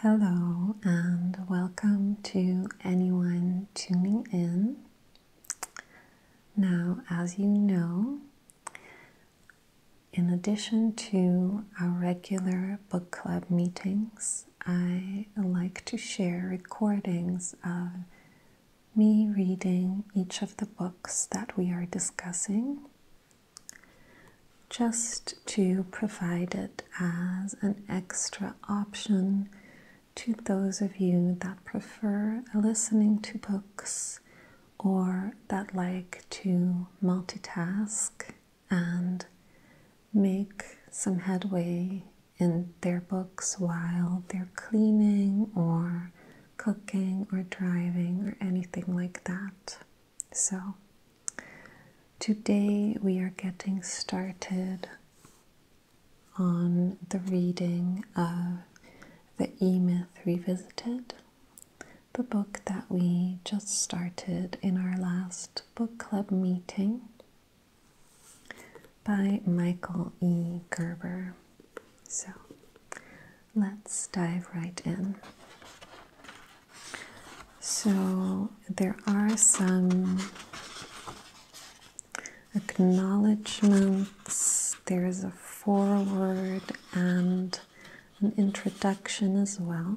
Hello and welcome to anyone tuning in. Now, as you know, in addition to our regular book club meetings, I like to share recordings of me reading each of the books that we are discussing just to provide it as an extra option to those of you that prefer listening to books or that like to multitask and make some headway in their books while they're cleaning or cooking or driving or anything like that. So, Today we are getting started on the reading of The E Myth Revisited, the book that we just started in our last book club meeting by Michael E. Gerber. So let's dive right in. So there are some acknowledgements, there is a foreword and an introduction as well.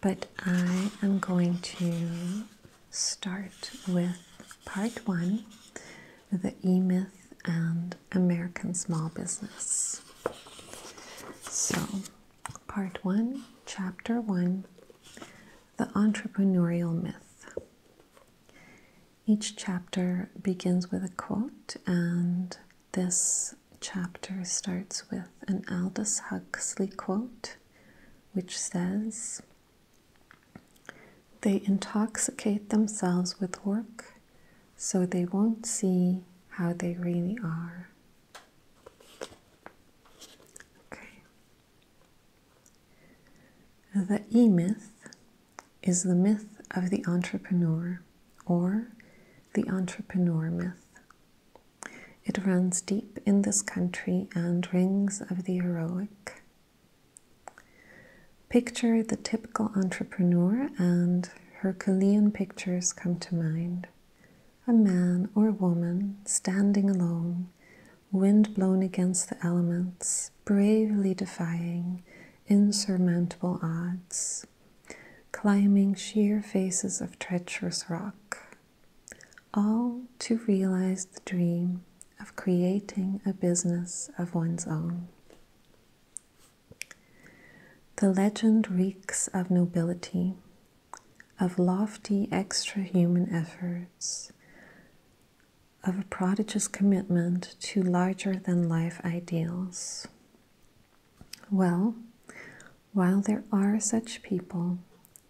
But I am going to start with part one the E Myth and American Small Business. So Part 1, Chapter 1 The Entrepreneurial Myth. Each chapter begins with a quote, and this chapter starts with an Aldous Huxley quote, which says, They intoxicate themselves with work so they won't see how they really are. Okay. The E myth is the myth of the entrepreneur or the entrepreneur myth. It runs deep in this country and rings of the heroic. Picture the typical entrepreneur, and Herculean pictures come to mind a man or woman standing alone, wind blown against the elements, bravely defying insurmountable odds, climbing sheer faces of treacherous rock, all to realize the dream of creating a business of one's own. The legend reeks of nobility, of lofty extra-human efforts, of a prodigious commitment to larger-than-life ideals. Well, while there are such people,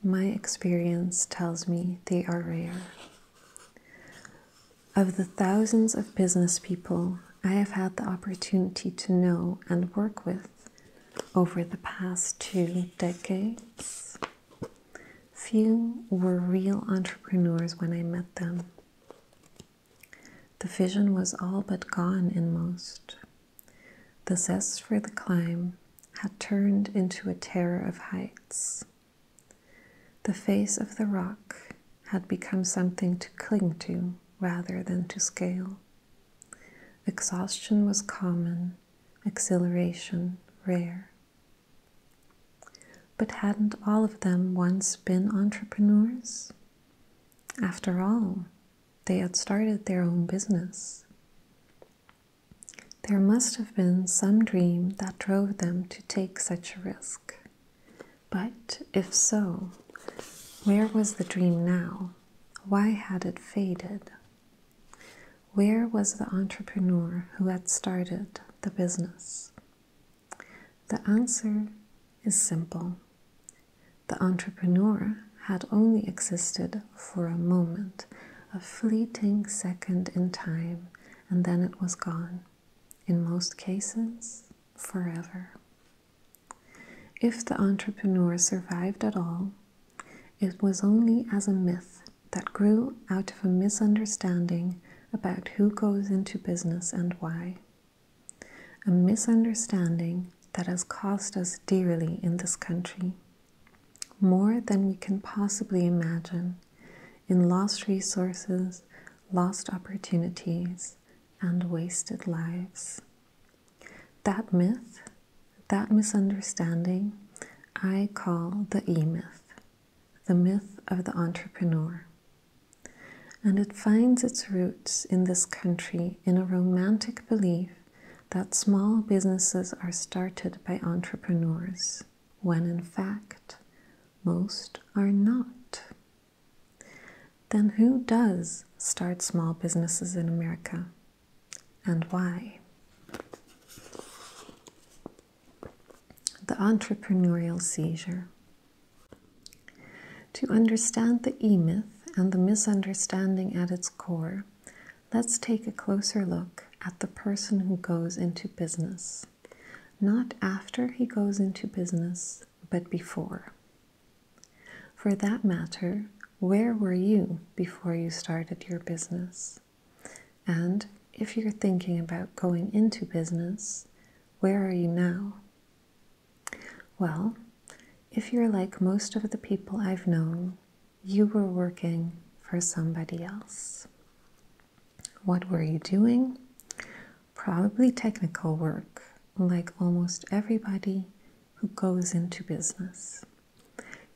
my experience tells me they are rare. Of the thousands of business people I have had the opportunity to know and work with, over the past two decades. Few were real entrepreneurs when I met them. The vision was all but gone in most. The zest for the climb had turned into a terror of heights. The face of the rock had become something to cling to rather than to scale. Exhaustion was common, exhilaration rare. But hadn't all of them once been entrepreneurs? After all, they had started their own business. There must have been some dream that drove them to take such a risk. But if so, where was the dream now? Why had it faded? Where was the entrepreneur who had started the business? The answer is simple. The entrepreneur had only existed for a moment, a fleeting second in time, and then it was gone. In most cases, forever. If the entrepreneur survived at all, it was only as a myth that grew out of a misunderstanding about who goes into business and why. A misunderstanding that has cost us dearly in this country. More than we can possibly imagine in lost resources, lost opportunities, and wasted lives. That myth, that misunderstanding, I call the E myth, the myth of the entrepreneur. And it finds its roots in this country in a romantic belief that small businesses are started by entrepreneurs, when in fact, most are not. Then who does start small businesses in America and why? The entrepreneurial seizure. To understand the e myth and the misunderstanding at its core, let's take a closer look at the person who goes into business. Not after he goes into business, but before. For that matter, where were you before you started your business? And if you're thinking about going into business, where are you now? Well, if you're like most of the people I've known, you were working for somebody else. What were you doing? Probably technical work, like almost everybody who goes into business.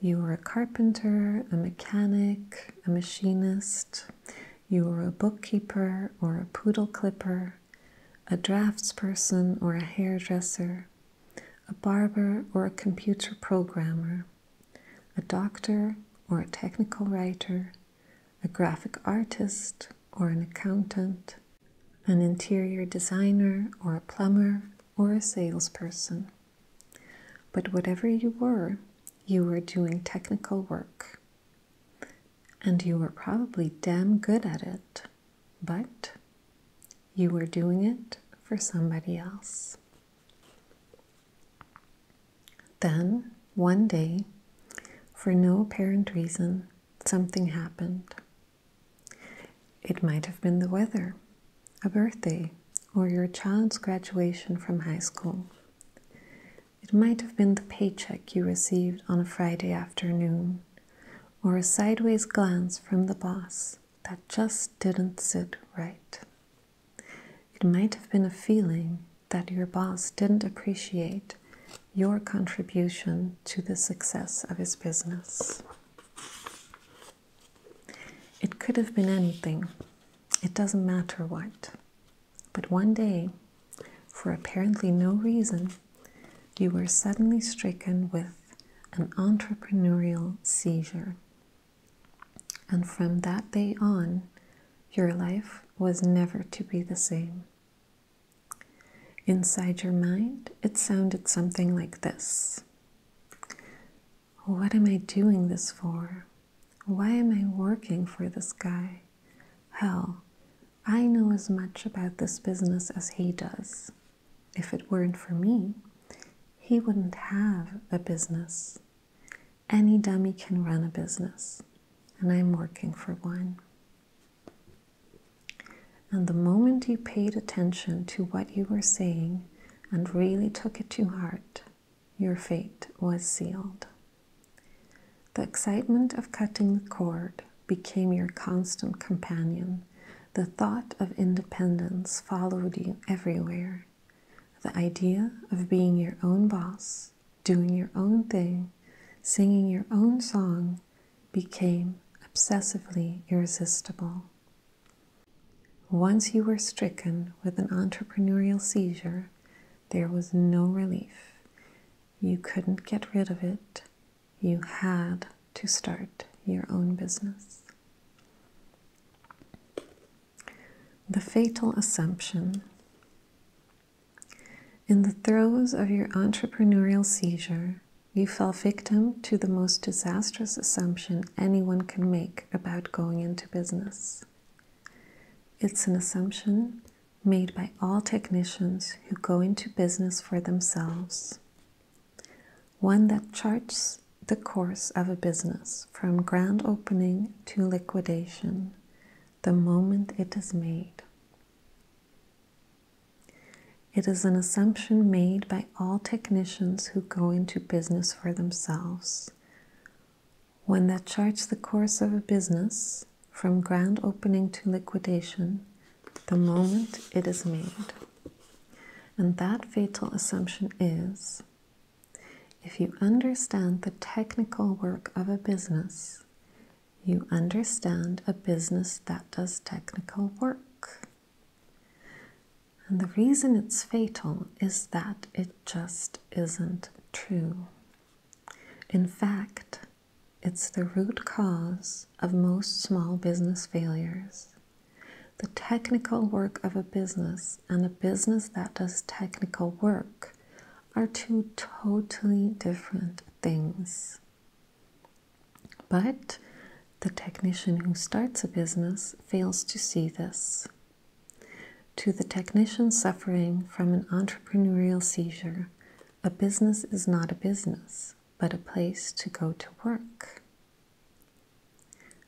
You are a carpenter, a mechanic, a machinist, you are a bookkeeper or a poodle clipper, a draftsperson or a hairdresser, a barber or a computer programmer, a doctor or a technical writer, a graphic artist or an accountant, an interior designer or a plumber or a salesperson. But whatever you were, you were doing technical work. And you were probably damn good at it, but you were doing it for somebody else. Then, one day, for no apparent reason, something happened. It might have been the weather, a birthday, or your child's graduation from high school. It might have been the paycheck you received on a Friday afternoon, or a sideways glance from the boss that just didn't sit right. It might have been a feeling that your boss didn't appreciate your contribution to the success of his business. It could have been anything, it doesn't matter what. But one day, for apparently no reason, you were suddenly stricken with an entrepreneurial seizure. And from that day on, your life was never to be the same. Inside your mind, it sounded something like this What am I doing this for? Why am I working for this guy? Hell, I know as much about this business as he does. If it weren't for me, he wouldn't have a business. Any dummy can run a business, and I'm working for one. And the moment you paid attention to what you were saying and really took it to heart, your fate was sealed. The excitement of cutting the cord became your constant companion. The thought of independence followed you everywhere. The idea of being your own boss, doing your own thing, singing your own song, became obsessively irresistible. Once you were stricken with an entrepreneurial seizure, there was no relief. You couldn't get rid of it. You had to start your own business. The fatal assumption. In the throes of your entrepreneurial seizure, you fell victim to the most disastrous assumption anyone can make about going into business. It's an assumption made by all technicians who go into business for themselves, one that charts the course of a business from grand opening to liquidation the moment it is made. It is an assumption made by all technicians who go into business for themselves. When they chart the course of a business from grand opening to liquidation, the moment it is made. And that fatal assumption is if you understand the technical work of a business, you understand a business that does technical work. And the reason it's fatal is that it just isn't true. In fact, it's the root cause of most small business failures. The technical work of a business and a business that does technical work are two totally different things. But the technician who starts a business fails to see this. To the technician suffering from an entrepreneurial seizure, a business is not a business, but a place to go to work.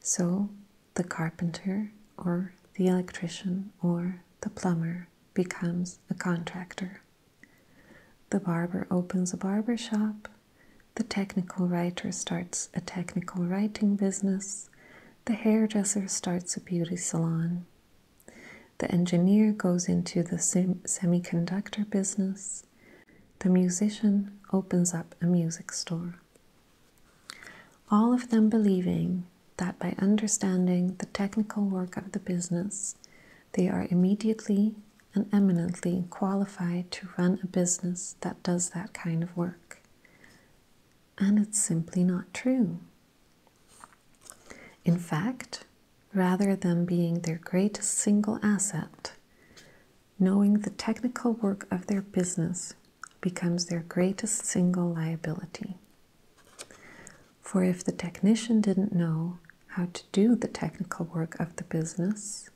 So the carpenter or the electrician or the plumber becomes a contractor. The barber opens a barber shop the technical writer starts a technical writing business. The hairdresser starts a beauty salon. The engineer goes into the semiconductor business. The musician opens up a music store. All of them believing that by understanding the technical work of the business, they are immediately and eminently qualified to run a business that does that kind of work. And it's simply not true. In fact, rather than being their greatest single asset, knowing the technical work of their business becomes their greatest single liability. For if the technician didn't know how to do the technical work of the business,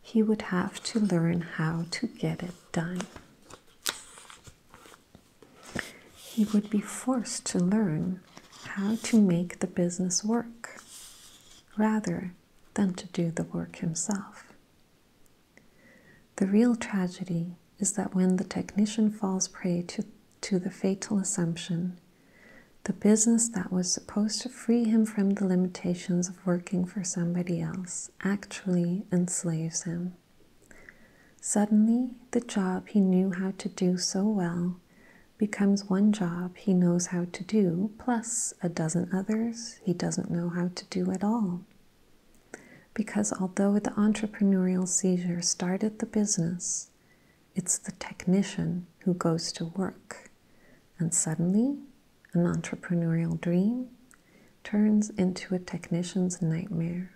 he would have to learn how to get it done. He would be forced to learn how to make the business work rather than to do the work himself. The real tragedy is that when the technician falls prey to, to the fatal assumption the business that was supposed to free him from the limitations of working for somebody else actually enslaves him. Suddenly, the job he knew how to do so well becomes one job he knows how to do, plus a dozen others he doesn't know how to do at all. Because although the entrepreneurial seizure started the business, it's the technician who goes to work. And suddenly, an entrepreneurial dream turns into a technician's nightmare.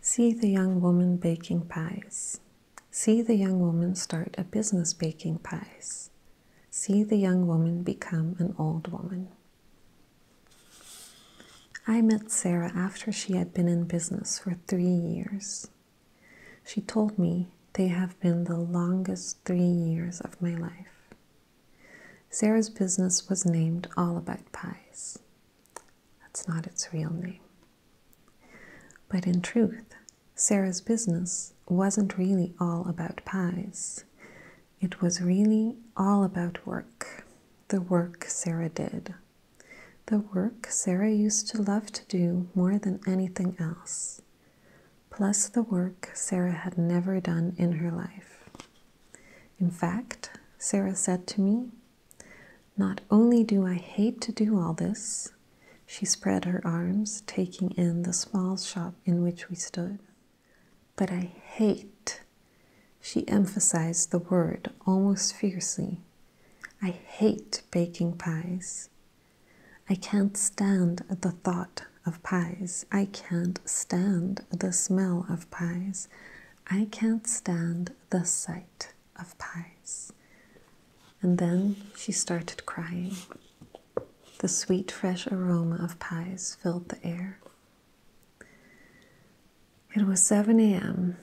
See the young woman baking pies. See the young woman start a business baking pies. See the young woman become an old woman. I met Sarah after she had been in business for three years. She told me they have been the longest three years of my life. Sarah's business was named All About Pies. That's not its real name. But in truth, Sarah's business wasn't really all about pies. It was really all about work, the work Sarah did the work Sarah used to love to do more than anything else, plus the work Sarah had never done in her life. In fact, Sarah said to me, Not only do I hate to do all this, she spread her arms, taking in the small shop in which we stood, but I hate. She emphasized the word almost fiercely I hate baking pies. I can't stand the thought of pies. I can't stand the smell of pies. I can't stand the sight of pies. And then she started crying. The sweet, fresh aroma of pies filled the air. It was 7 a.m.,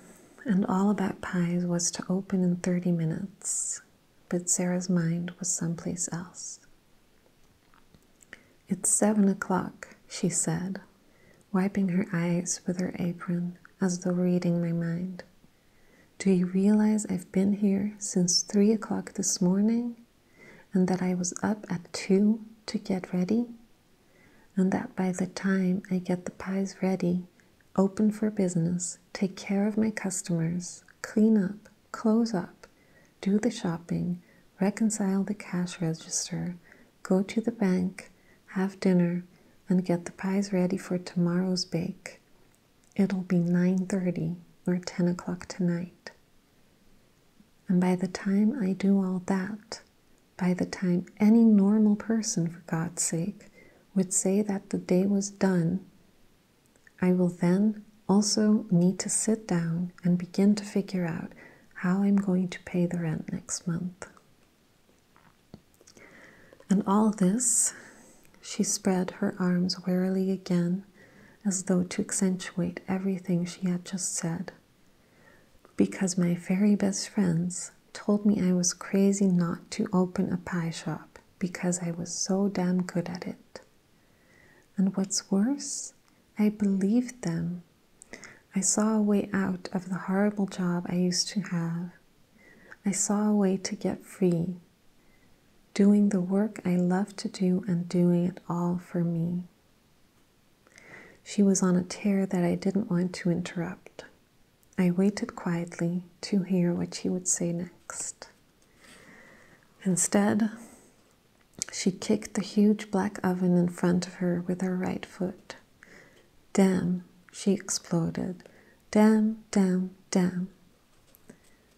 and All About Pies was to open in 30 minutes, but Sarah's mind was someplace else. It's seven o'clock, she said, wiping her eyes with her apron as though reading my mind. Do you realize I've been here since three o'clock this morning and that I was up at two to get ready? And that by the time I get the pies ready, open for business, take care of my customers, clean up, close up, do the shopping, reconcile the cash register, go to the bank, have dinner, and get the pies ready for tomorrow's bake. It'll be 9.30 or 10 o'clock tonight. And by the time I do all that, by the time any normal person, for God's sake, would say that the day was done, I will then also need to sit down and begin to figure out how I'm going to pay the rent next month. And all this, she spread her arms wearily again, as though to accentuate everything she had just said. Because my very best friends told me I was crazy not to open a pie shop because I was so damn good at it. And what's worse, I believed them. I saw a way out of the horrible job I used to have. I saw a way to get free, doing the work I love to do and doing it all for me. She was on a tear that I didn't want to interrupt. I waited quietly to hear what she would say next. Instead, she kicked the huge black oven in front of her with her right foot. Damn, she exploded. Damn, damn, damn.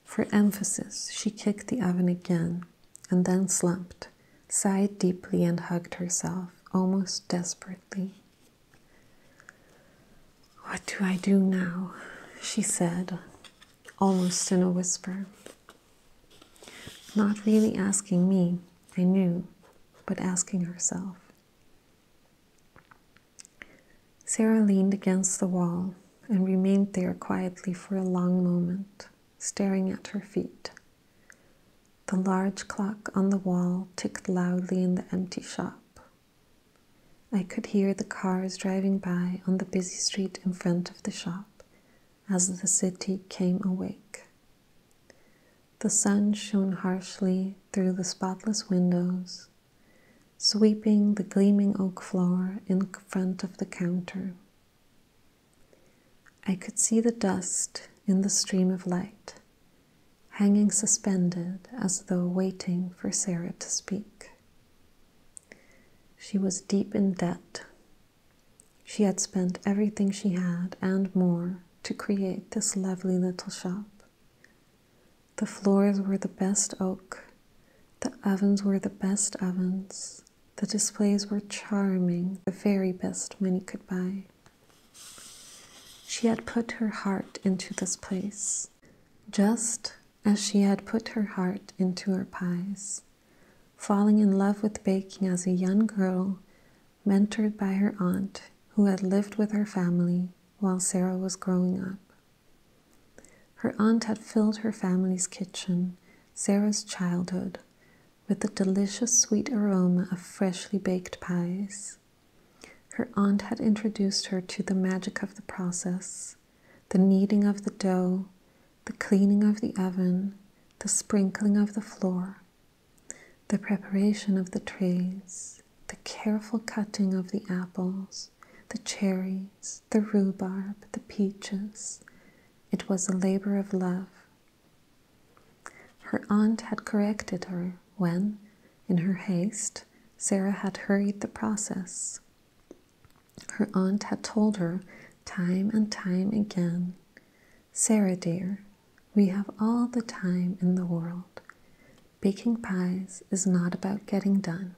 For emphasis, she kicked the oven again and then slumped, sighed deeply, and hugged herself, almost desperately. What do I do now? she said, almost in a whisper. Not really asking me, I knew, but asking herself. Sarah leaned against the wall and remained there quietly for a long moment, staring at her feet. The large clock on the wall ticked loudly in the empty shop, I could hear the cars driving by on the busy street in front of the shop as the city came awake. The sun shone harshly through the spotless windows, sweeping the gleaming oak floor in front of the counter. I could see the dust in the stream of light hanging suspended as though waiting for Sarah to speak. She was deep in debt. She had spent everything she had and more to create this lovely little shop. The floors were the best oak, the ovens were the best ovens, the displays were charming, the very best money could buy. She had put her heart into this place, just as she had put her heart into her pies, falling in love with baking as a young girl, mentored by her aunt who had lived with her family while Sarah was growing up. Her aunt had filled her family's kitchen, Sarah's childhood, with the delicious sweet aroma of freshly baked pies. Her aunt had introduced her to the magic of the process, the kneading of the dough, the cleaning of the oven, the sprinkling of the floor, the preparation of the trays, the careful cutting of the apples, the cherries, the rhubarb, the peaches. It was a labor of love. Her aunt had corrected her when, in her haste, Sarah had hurried the process. Her aunt had told her time and time again Sarah, dear, we have all the time in the world. Baking pies is not about getting done,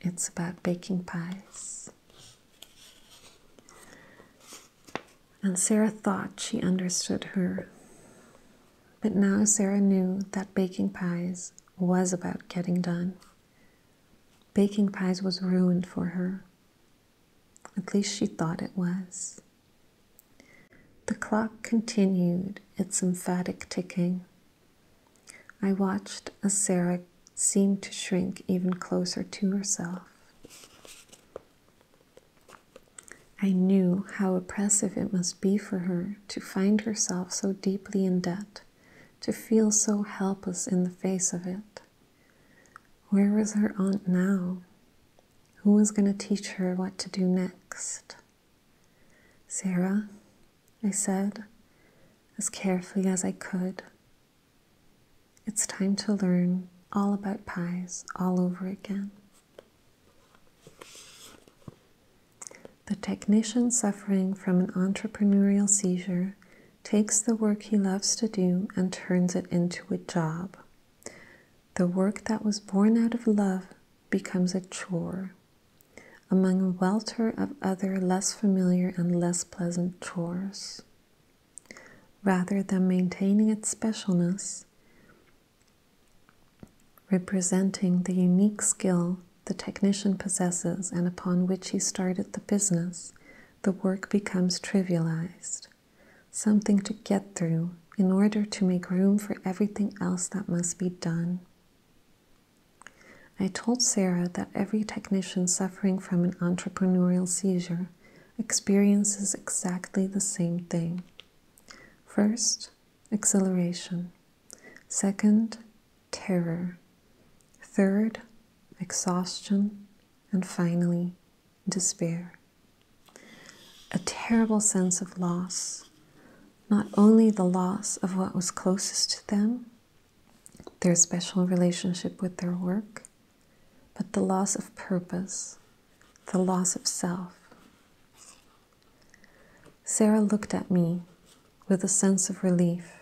it's about baking pies. And Sarah thought she understood her. But now Sarah knew that baking pies was about getting done. Baking pies was ruined for her. At least she thought it was. The clock continued its emphatic ticking. I watched as Sarah seemed to shrink even closer to herself. I knew how oppressive it must be for her to find herself so deeply in debt, to feel so helpless in the face of it. Where was her aunt now? Who was going to teach her what to do next? Sarah, I said, as carefully as I could, it's time to learn all about pies all over again. The technician suffering from an entrepreneurial seizure takes the work he loves to do and turns it into a job. The work that was born out of love becomes a chore, among a welter of other less familiar and less pleasant chores. Rather than maintaining its specialness, representing the unique skill the technician possesses and upon which he started the business, the work becomes trivialized, something to get through in order to make room for everything else that must be done. I told Sarah that every technician suffering from an entrepreneurial seizure experiences exactly the same thing. First, exhilaration. Second, terror. Third, exhaustion. And finally, despair. A terrible sense of loss. Not only the loss of what was closest to them, their special relationship with their work, but the loss of purpose, the loss of self. Sarah looked at me with a sense of relief,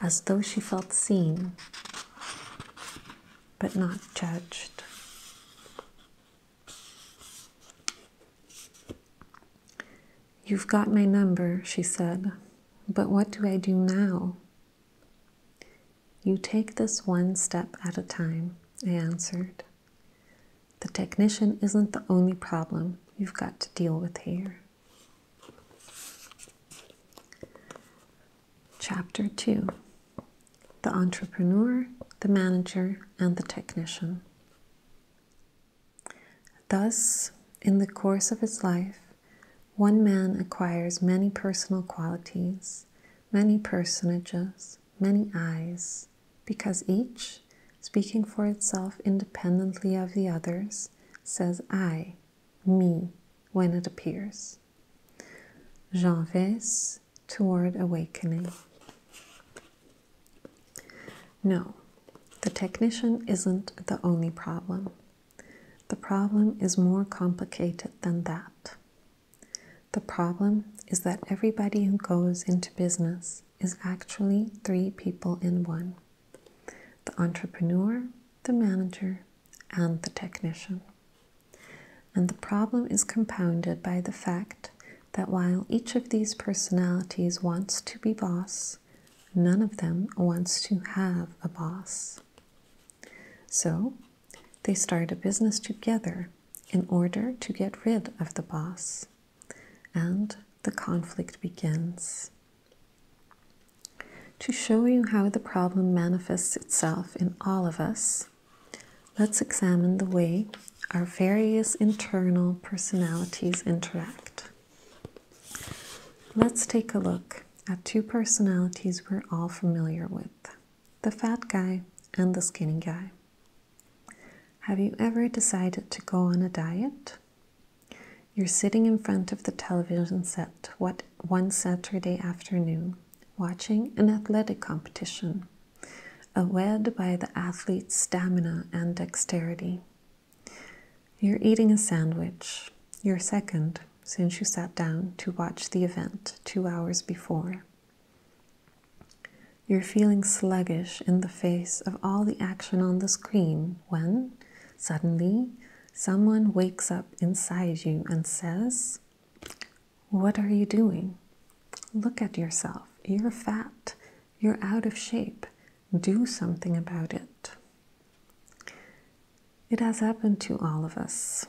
as though she felt seen but not judged. You've got my number, she said, but what do I do now? You take this one step at a time, I answered. The technician isn't the only problem you've got to deal with here. Chapter 2 The Entrepreneur, the Manager, and the Technician. Thus, in the course of his life, one man acquires many personal qualities, many personages, many eyes, because each, speaking for itself independently of the others, says I, me, when it appears. Janves toward awakening. No, the technician isn't the only problem. The problem is more complicated than that. The problem is that everybody who goes into business is actually three people in one the entrepreneur, the manager, and the technician. And the problem is compounded by the fact that while each of these personalities wants to be boss, none of them wants to have a boss. So they start a business together in order to get rid of the boss and the conflict begins. To show you how the problem manifests itself in all of us, let's examine the way our various internal personalities interact. Let's take a look at two personalities we're all familiar with the fat guy and the skinny guy. Have you ever decided to go on a diet? You're sitting in front of the television set what, one Saturday afternoon, watching an athletic competition, awed by the athlete's stamina and dexterity. You're eating a sandwich, your second since you sat down to watch the event two hours before. You're feeling sluggish in the face of all the action on the screen when suddenly someone wakes up inside you and says, What are you doing? Look at yourself. You're fat. You're out of shape. Do something about it. It has happened to all of us.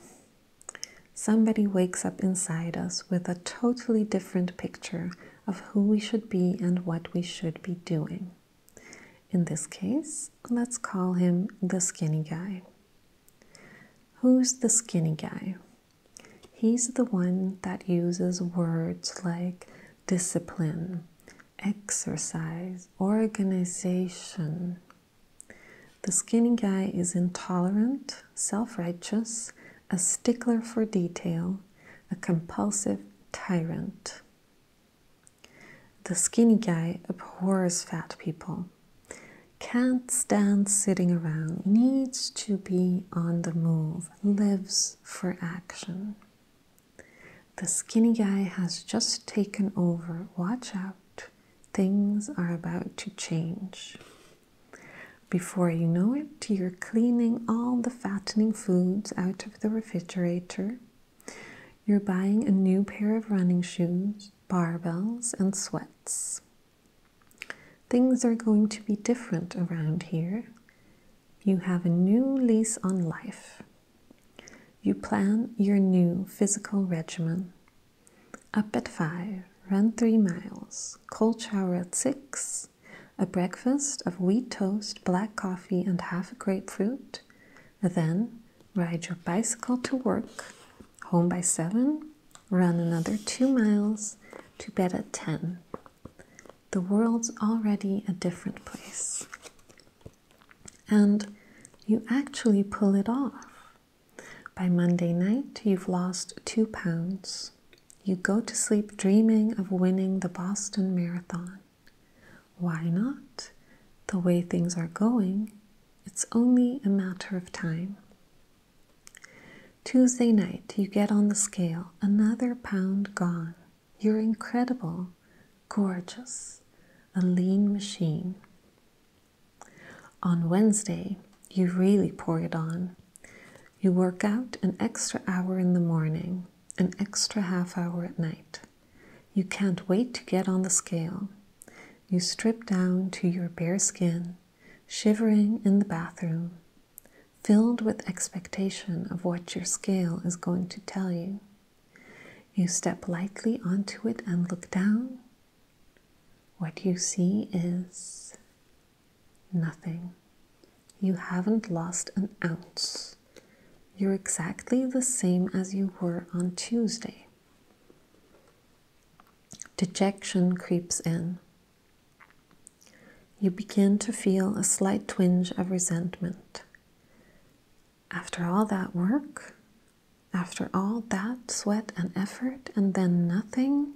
Somebody wakes up inside us with a totally different picture of who we should be and what we should be doing. In this case, let's call him the skinny guy. Who's the skinny guy? He's the one that uses words like discipline, exercise, organization. The skinny guy is intolerant, self righteous, a stickler for detail, a compulsive tyrant. The skinny guy abhors fat people, can't stand sitting around, needs to be on the move, lives for action. The skinny guy has just taken over. Watch out, things are about to change. Before you know it, you're cleaning all the fattening foods out of the refrigerator. You're buying a new pair of running shoes, barbells, and sweats. Things are going to be different around here. You have a new lease on life. You plan your new physical regimen. Up at 5, run 3 miles, cold shower at 6, a breakfast of wheat toast, black coffee, and half a grapefruit. Then ride your bicycle to work, home by 7, run another 2 miles, to bed at 10. The world's already a different place. And you actually pull it off. By Monday night, you've lost 2 pounds. You go to sleep dreaming of winning the Boston Marathon. Why not? The way things are going, it's only a matter of time. Tuesday night, you get on the scale, another pound gone. You're incredible, gorgeous, a lean machine. On Wednesday, you really pour it on. You work out an extra hour in the morning, an extra half hour at night. You can't wait to get on the scale. You strip down to your bare skin, shivering in the bathroom, filled with expectation of what your scale is going to tell you. You step lightly onto it and look down. What you see is Nothing. You haven't lost an ounce. You're exactly the same as you were on Tuesday. Dejection creeps in. You begin to feel a slight twinge of resentment. After all that work, after all that sweat and effort, and then nothing,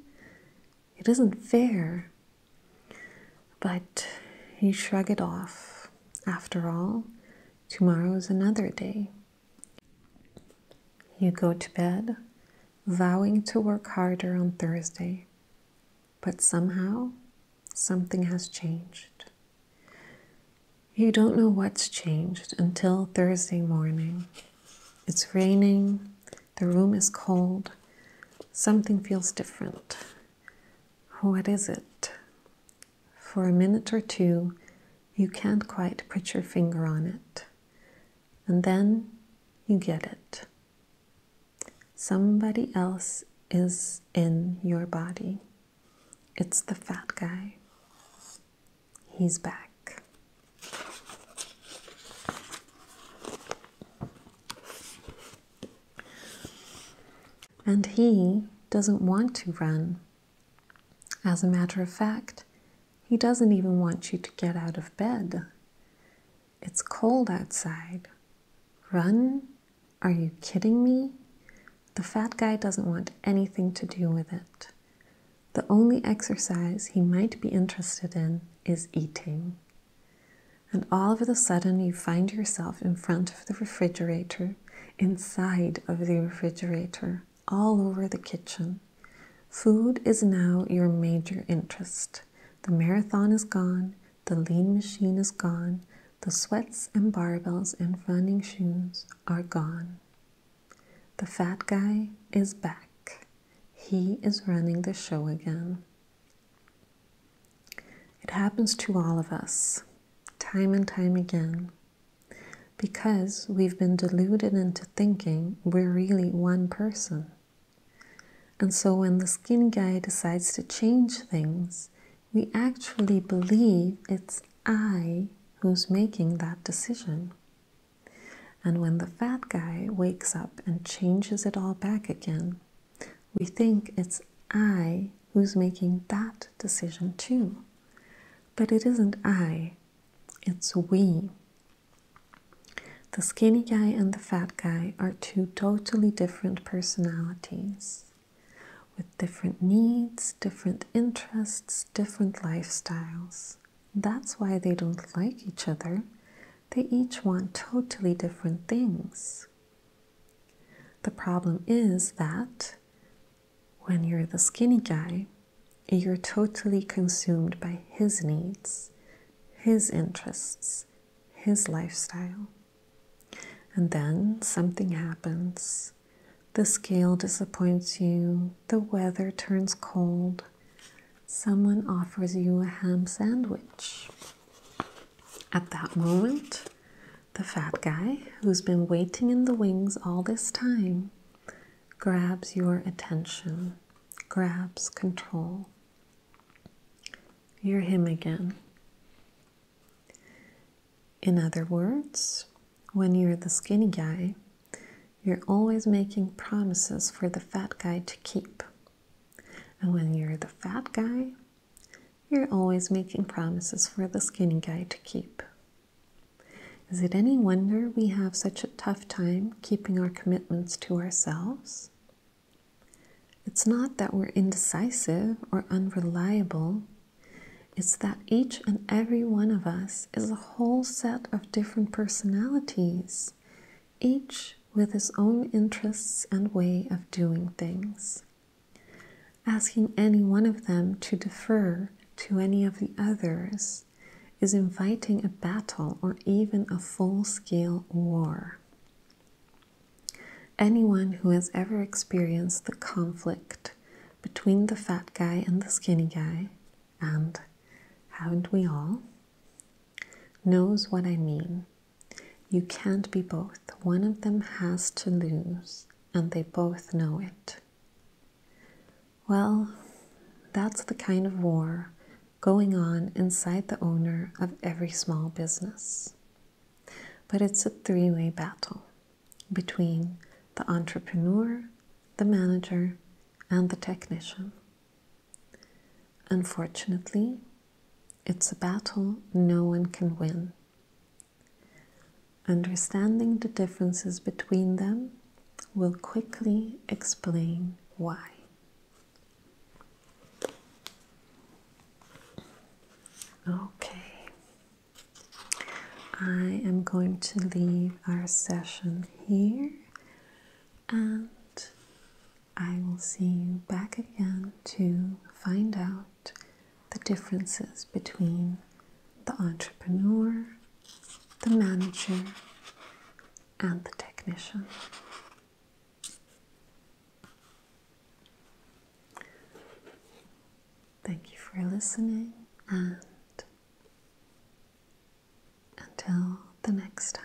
it isn't fair. But you shrug it off. After all, tomorrow is another day. You go to bed, vowing to work harder on Thursday. But somehow, something has changed. You don't know what's changed until Thursday morning. It's raining, the room is cold, something feels different. What is it? For a minute or two, you can't quite put your finger on it. And then you get it. Somebody else is in your body. It's the fat guy. He's back. And he doesn't want to run. As a matter of fact, he doesn't even want you to get out of bed. It's cold outside. Run? Are you kidding me? The fat guy doesn't want anything to do with it. The only exercise he might be interested in is eating. And all of a sudden, you find yourself in front of the refrigerator, inside of the refrigerator, all over the kitchen. Food is now your major interest. The marathon is gone, the lean machine is gone, the sweats and barbells and running shoes are gone. The fat guy is back. He is running the show again. It happens to all of us, time and time again, because we've been deluded into thinking we're really one person. And so when the skin guy decides to change things, we actually believe it's I who's making that decision. And when the fat guy wakes up and changes it all back again, we think it's I who's making that decision too. But it isn't I, it's we. The skinny guy and the fat guy are two totally different personalities with different needs, different interests, different lifestyles. That's why they don't like each other. They each want totally different things. The problem is that when you're the skinny guy, you're totally consumed by his needs, his interests, his lifestyle. And then something happens. The scale disappoints you, the weather turns cold, someone offers you a ham sandwich. At that moment, the fat guy who's been waiting in the wings all this time grabs your attention, grabs control. You're him again. In other words, when you're the skinny guy, you're always making promises for the fat guy to keep. And when you're the fat guy, you're always making promises for the skinny guy to keep. Is it any wonder we have such a tough time keeping our commitments to ourselves? It's not that we're indecisive or unreliable. It's that each and every one of us is a whole set of different personalities, each with his own interests and way of doing things. Asking any one of them to defer to any of the others is inviting a battle or even a full scale war. Anyone who has ever experienced the conflict between the fat guy and the skinny guy, and haven't we all, knows what I mean. You can't be both. One of them has to lose, and they both know it. Well, that's the kind of war going on inside the owner of every small business. But it's a three way battle between the entrepreneur, the manager, and the technician. Unfortunately, it's a battle no one can win. Understanding the differences between them will quickly explain why. Okay, I am going to leave our session here and I will see you back again to find out the differences between the entrepreneur, the manager, and the technician. Thank you for listening, and until the next time.